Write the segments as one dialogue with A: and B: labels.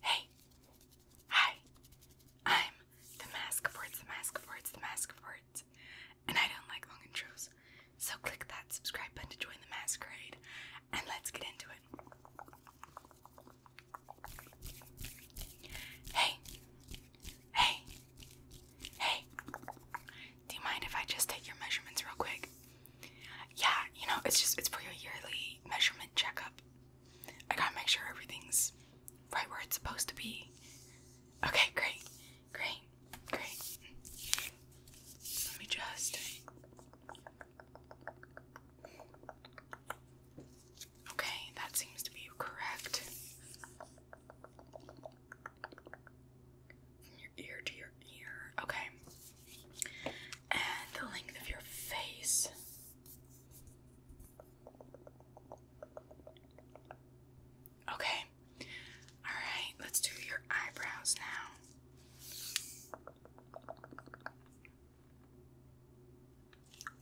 A: Hey, hi, I'm the Mask of Words, the Mask of Words, the Mask of Words, and I don't like long intros, so click that subscribe button to join the masquerade, and let's get into it. Hey, hey, hey, do you mind if I just take your measurements real quick? yeah, you know, it's just it's for your yearly measurement checkup. I gotta make sure everything's right where it's supposed to be. Okay, great, great, great. Let me just. Okay, that seems to be correct from your ear to your ear. Okay. And the length of your face. Okay. Alright, let's do your eyebrows now.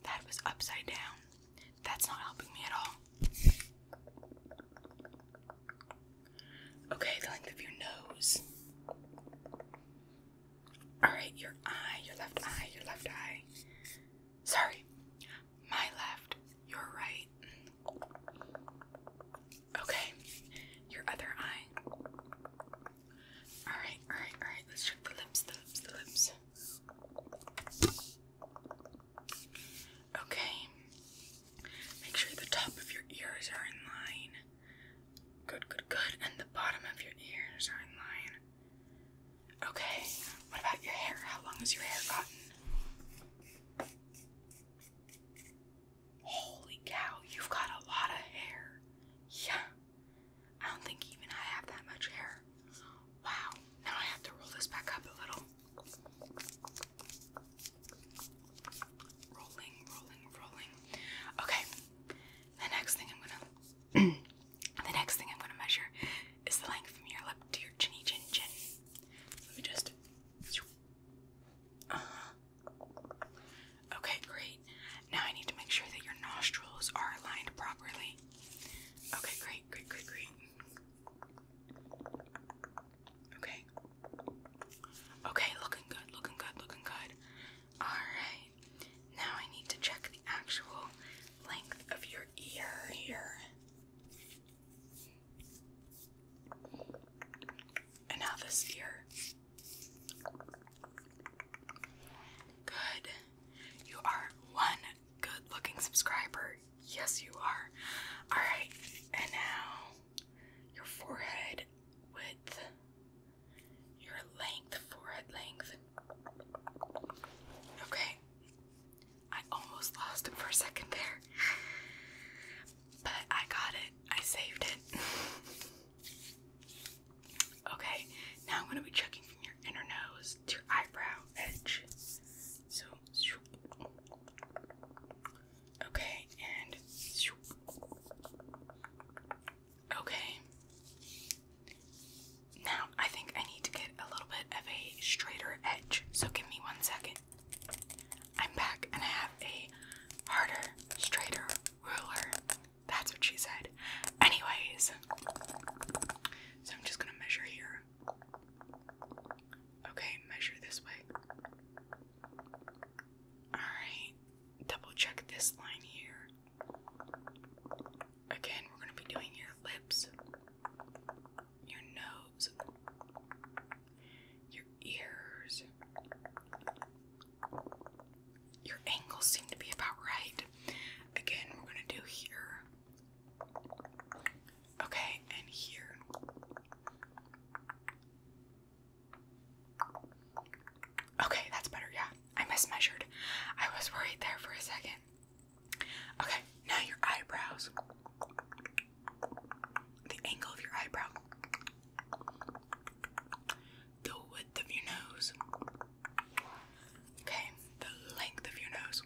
A: That was upside down. That's not helping me at all. Okay, the length of your nose. Alright, your eye, your left eye, your left eye. Sorry, my left, your right. Okay, your other eye. Alright, alright, alright. Let's check the lips, the lips, the lips. Okay. Make sure the top of your ears are in line. Good, good, good. And the bottom of your ears are in line. Okay. What about your hair? How long has your hair gotten? Holy cow, you've got a lot of hair. Yeah. I don't think even I have that much hair. Wow. Now I have to roll this back up a little. Okay. The next thing I'm gonna the next thing I'm gonna measure is the length from your lip to your chinny chin chin. Let me just uh-huh. Okay, great. Now I need to make sure that your nostrils are aligned properly. Okay, great, great, great, great. Okay. Okay, looking good, looking good, looking good. Alright. Now I need to check the actual length of your ear here. And now this ear. Good. You are one good looking subscriber. Yes, you are. Alright, and now your forehead width, your length, forehead length. Okay, I almost lost it for a second there, but I got it. I saved it. Okay, now I'm going to be checking from your inner nose to your eyebrow edge. So, okay, and okay. Now I think I need to get a little bit of a straighter edge, so give me one second. I'm back and I have a harder, straighter ruler that's what she said. Anyways, so I'm just gonna measure here. Okay, measure this way. Alright, double check this line here. Again, we're gonna be doing your lips, your nose, your ears, your angles seem to be about right. Again, we're gonna do here. Okay, and here. Okay, that's better, yeah. I mismeasured. I was worried there for a second. Okay, now your eyebrows. The angle of your eyebrow the width of your nose. Okay, the length of your nose.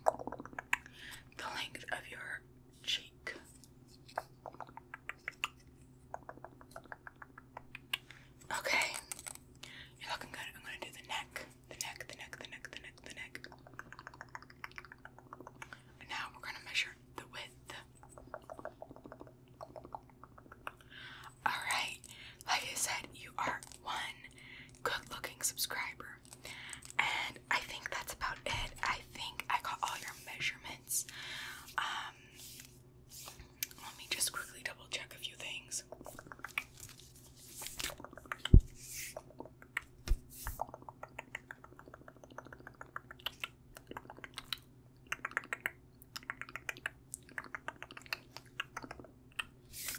A: The length of your cheek. Okay, you're looking good. I'm gonna do the neck, the neck, the neck, the neck, the neck, the neck. And now we're gonna measure the width. Alright, like I said, you are one good looking subscriber. And I think that's about it. I think I got all your measurements. Um, let me just quickly double check a few things.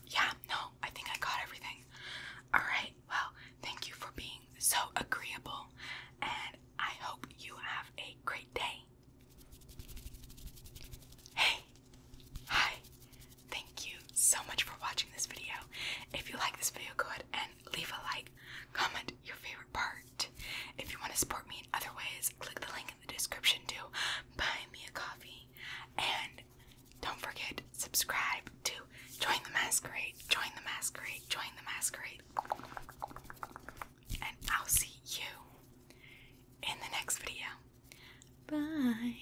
A: Yeah, no, I think I got everything. Alright, well, thank you for being so agreeable, and I hope you have a great day. Hey! Hi! Thank you so much for watching this video. If you like this video, go ahead and leave a like, comment your favorite part. If you want to support me in other ways, click the link in the description to buy me a coffee. And don't forget, subscribe to Join the Masquerade, Join the Masquerade, Join the Masquerade. And I'll see you in the next video. Bye.